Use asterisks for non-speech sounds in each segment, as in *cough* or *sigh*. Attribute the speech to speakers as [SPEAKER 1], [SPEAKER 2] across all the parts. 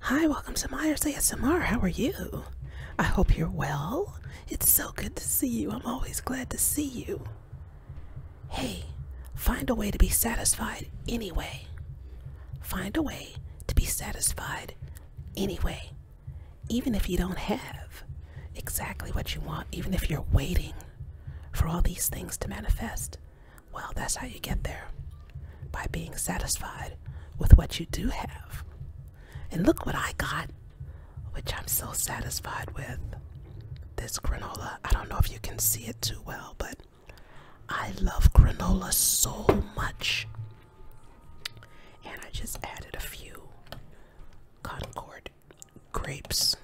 [SPEAKER 1] Hi, welcome to Myers ASMR. How are you? I hope you're well. It's so good to see you. I'm always glad to see you. Hey, find a way to be satisfied anyway. Find a way to be satisfied anyway. Even if you don't have exactly what you want, even if you're waiting for all these things to manifest, well, that's how you get there by being satisfied with what you do have. And look what I got, which I'm so satisfied with. This granola, I don't know if you can see it too well, but I love granola so much. And I just added a few Concord grapes.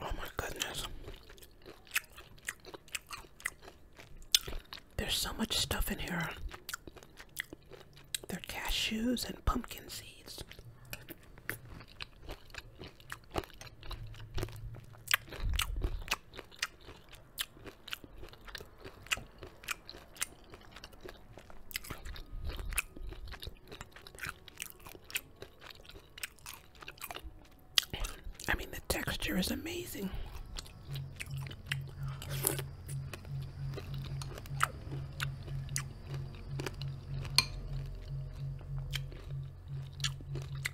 [SPEAKER 1] Oh my goodness. There's so much stuff in here. They're cashews and pumpkin seeds. I mean, the texture is amazing.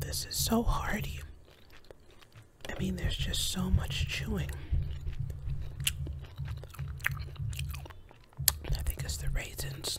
[SPEAKER 1] This is so hearty. I mean, there's just so much chewing. I think it's the raisins.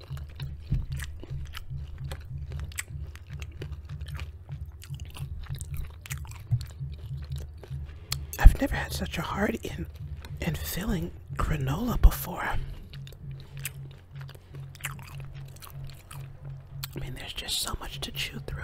[SPEAKER 1] I've never had such a hard in and filling granola before. I mean, there's just so much to chew through.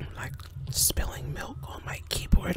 [SPEAKER 1] I'm like spilling milk on my keyboard.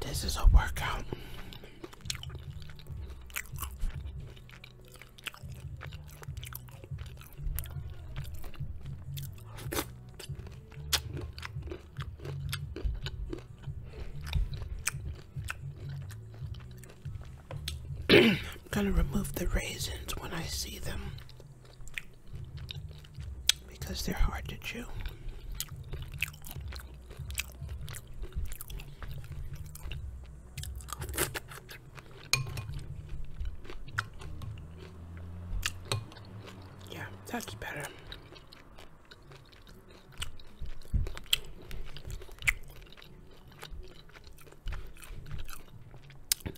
[SPEAKER 1] This is a workout I'm gonna remove the raisins when I see them because they're hard to chew. Yeah, that's better.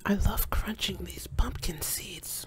[SPEAKER 1] I love crunching these pumpkin seeds.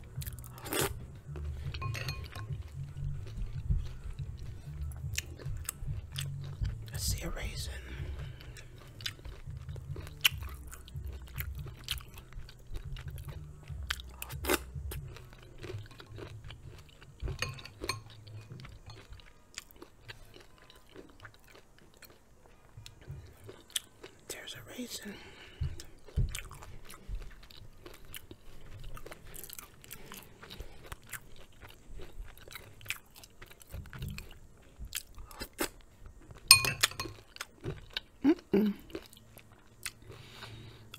[SPEAKER 1] I see a raisin. There's a reason.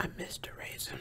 [SPEAKER 1] I missed a raisin.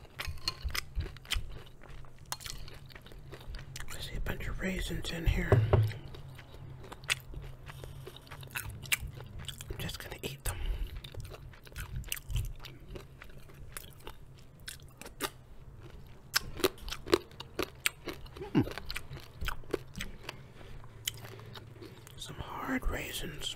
[SPEAKER 1] I see a bunch of raisins in here. I'm just going to eat them. Hmm. Some hard raisins.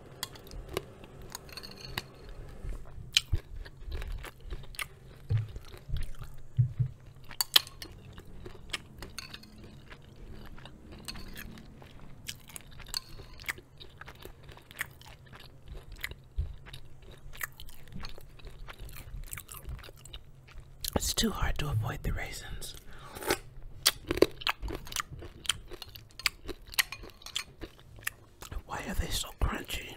[SPEAKER 1] It's too hard to avoid the raisins. Why are they so crunchy?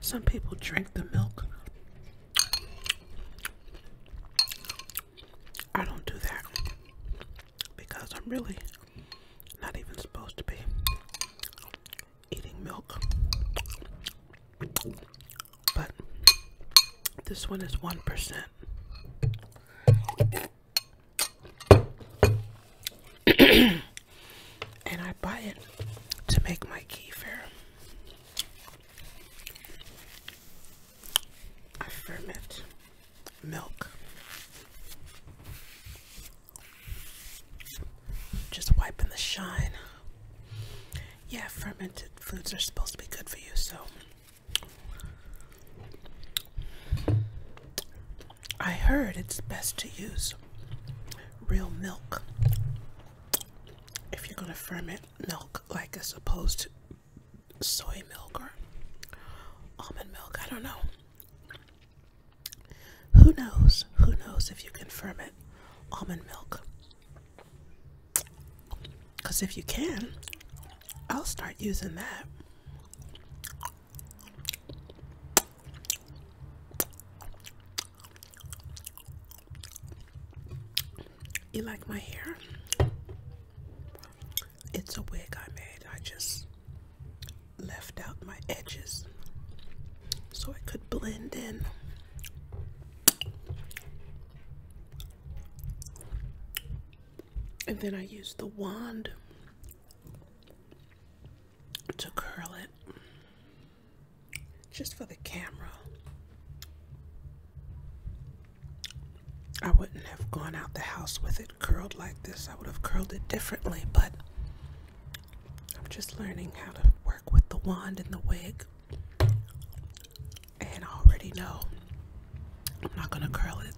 [SPEAKER 1] Some people drink the milk. I don't do that because I'm really not even supposed to be eating milk. But this one is 1%. *clears throat* and I buy it to make my kefir. I ferment milk. Just wiping the shine. Yeah, fermented foods are supposed to be good for you, so I heard it's best to use real milk if you're going to ferment milk like a supposed to soy milk or almond milk i don't know who knows who knows if you can ferment almond milk because if you can i'll start using that you like my hair? It's a wig I made. I just left out my edges so it could blend in. And then I used the wand to curl it just for the camera. I wouldn't have gone out the house with it curled like this. I would have curled it differently, but I'm just learning how to work with the wand and the wig. And I already know I'm not going to curl it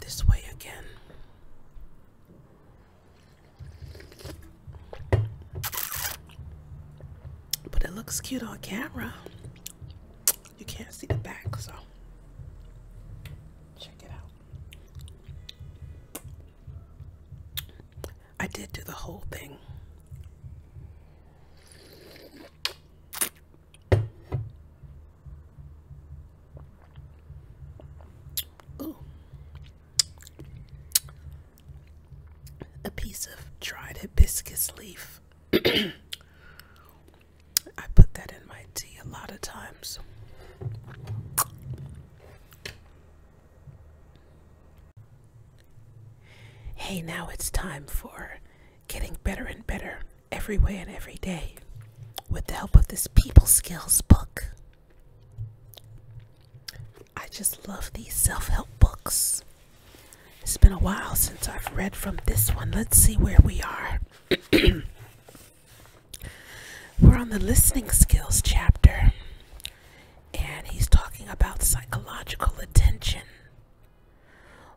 [SPEAKER 1] this way again. But it looks cute on camera. You can't see the back, so check it out. I did do the whole thing. Ooh a piece of dried hibiscus leaf. *clears throat* I put that in my tea a lot of times. Hey, now it's time for getting better and better every way and every day with the help of this people skills book. I just love these self help books. It's been a while since I've read from this one. Let's see where we are. *clears throat* We're on the listening skills chapter, and he's talking about psychological attention.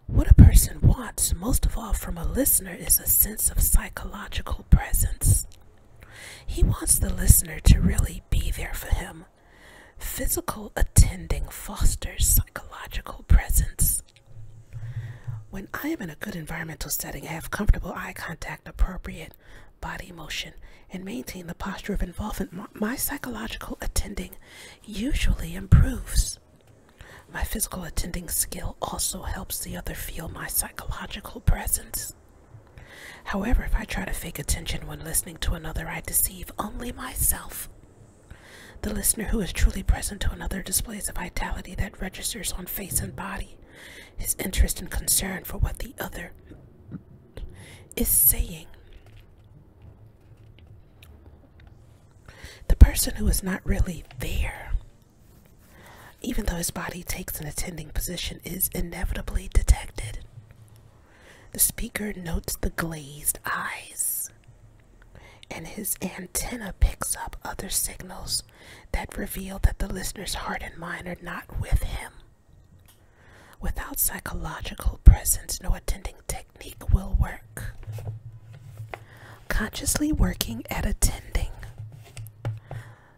[SPEAKER 1] What a person wants, most of all from a listener, is a sense of psychological presence. He wants the listener to really be there for him. Physical attending fosters psychological presence. When I am in a good environmental setting, I have comfortable eye contact, appropriate body motion, and maintain the posture of involvement. My psychological attending usually improves. My physical attending skill also helps the other feel my psychological presence. However, if I try to fake attention when listening to another, I deceive only myself. The listener who is truly present to another displays a vitality that registers on face and body, his interest and concern for what the other is saying. The person who is not really there even though his body takes an attending position, is inevitably detected. The speaker notes the glazed eyes, and his antenna picks up other signals that reveal that the listener's heart and mind are not with him. Without psychological presence, no attending technique will work. Consciously working at attending.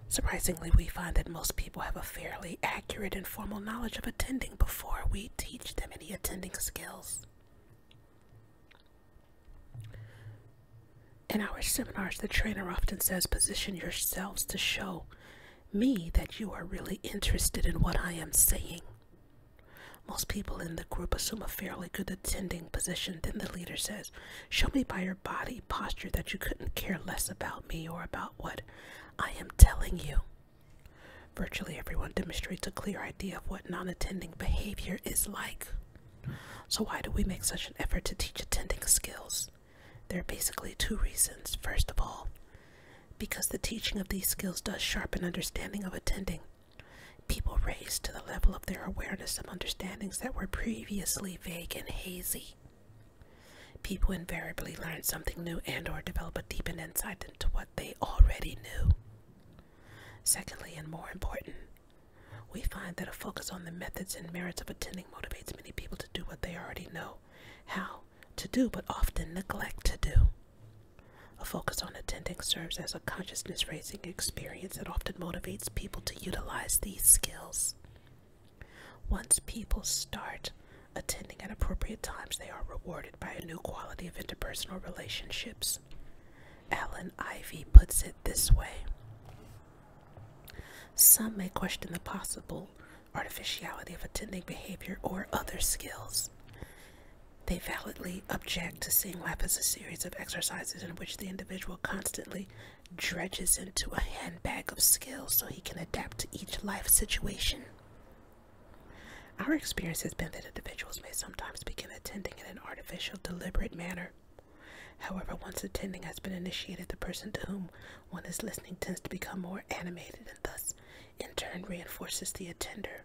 [SPEAKER 1] Surprisingly, we find that most people have a fairly accurate informal knowledge of attending before we teach them any attending skills. In our seminars, the trainer often says, Position yourselves to show me that you are really interested in what I am saying. Most people in the group assume a fairly good attending position. Then the leader says, Show me by your." body posture that you couldn't care less about me or about what I am telling you. Virtually everyone demonstrates a clear idea of what non attending behavior is like. So, why do we make such an effort to teach attending skills? There are basically two reasons. First of all, because the teaching of these skills does sharpen understanding of attending. People raise to the level of their awareness of understandings that were previously vague and hazy. People invariably learn something new and or develop a deeper insight into what they already knew. Secondly, and more important, we find that a focus on the methods and merits of attending motivates many people to do what they already know how to do but often neglect to do. A focus on attending serves as a consciousness experience that often motivates people to utilize these skills. Once people start attending at appropriate times, they are rewarded by a new quality of interpersonal relationships. Alan Ivy puts it this way Some may question the possible artificiality of attending behavior or other skills. They validly object to seeing life as a series of exercises in which the individual constantly dredges into a handbag of skills so he can adapt to each life situation. Our experience has been that individuals may sometimes begin attending in an artificial, deliberate manner. However, once attending has been initiated, the person to whom one is listening tends to become more animated and thus, in turn, reinforces the attender,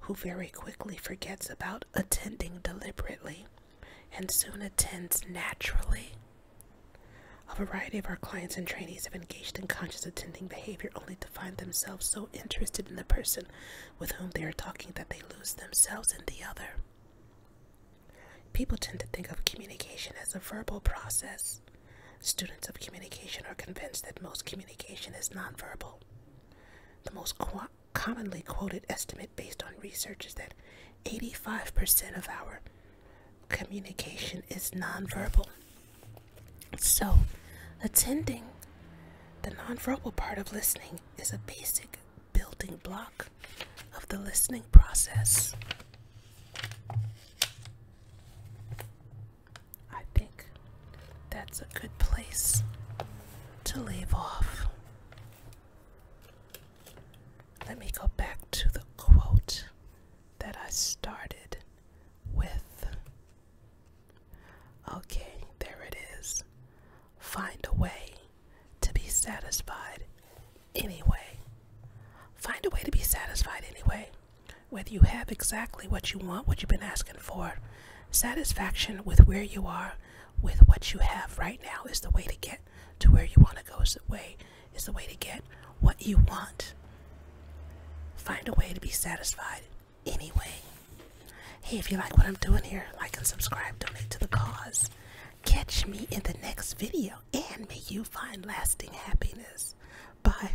[SPEAKER 1] who very quickly forgets about attending deliberately and soon attends naturally. A variety of our clients and trainees have engaged in conscious attending behavior only to find themselves so interested in the person with whom they are talking that they lose themselves in the other. People tend to think of communication as a verbal process. Students of communication are convinced that most communication is nonverbal. The most commonly quoted estimate based on research is that 85% of our communication is nonverbal. So, attending the nonverbal part of listening is a basic building block of the listening process. I think that's a good place to leave off. Let me go back to the quote that I started with. Okay, there it is. Find a way to be satisfied anyway. Find a way to be satisfied anyway. Whether you have exactly what you want, what you've been asking for, satisfaction with where you are, with what you have right now is the way to get to where you want to go is the way is the way to get what you want find a way to be satisfied anyway hey if you like what i'm doing here like and subscribe donate to the cause catch me in the next video and may you find lasting happiness bye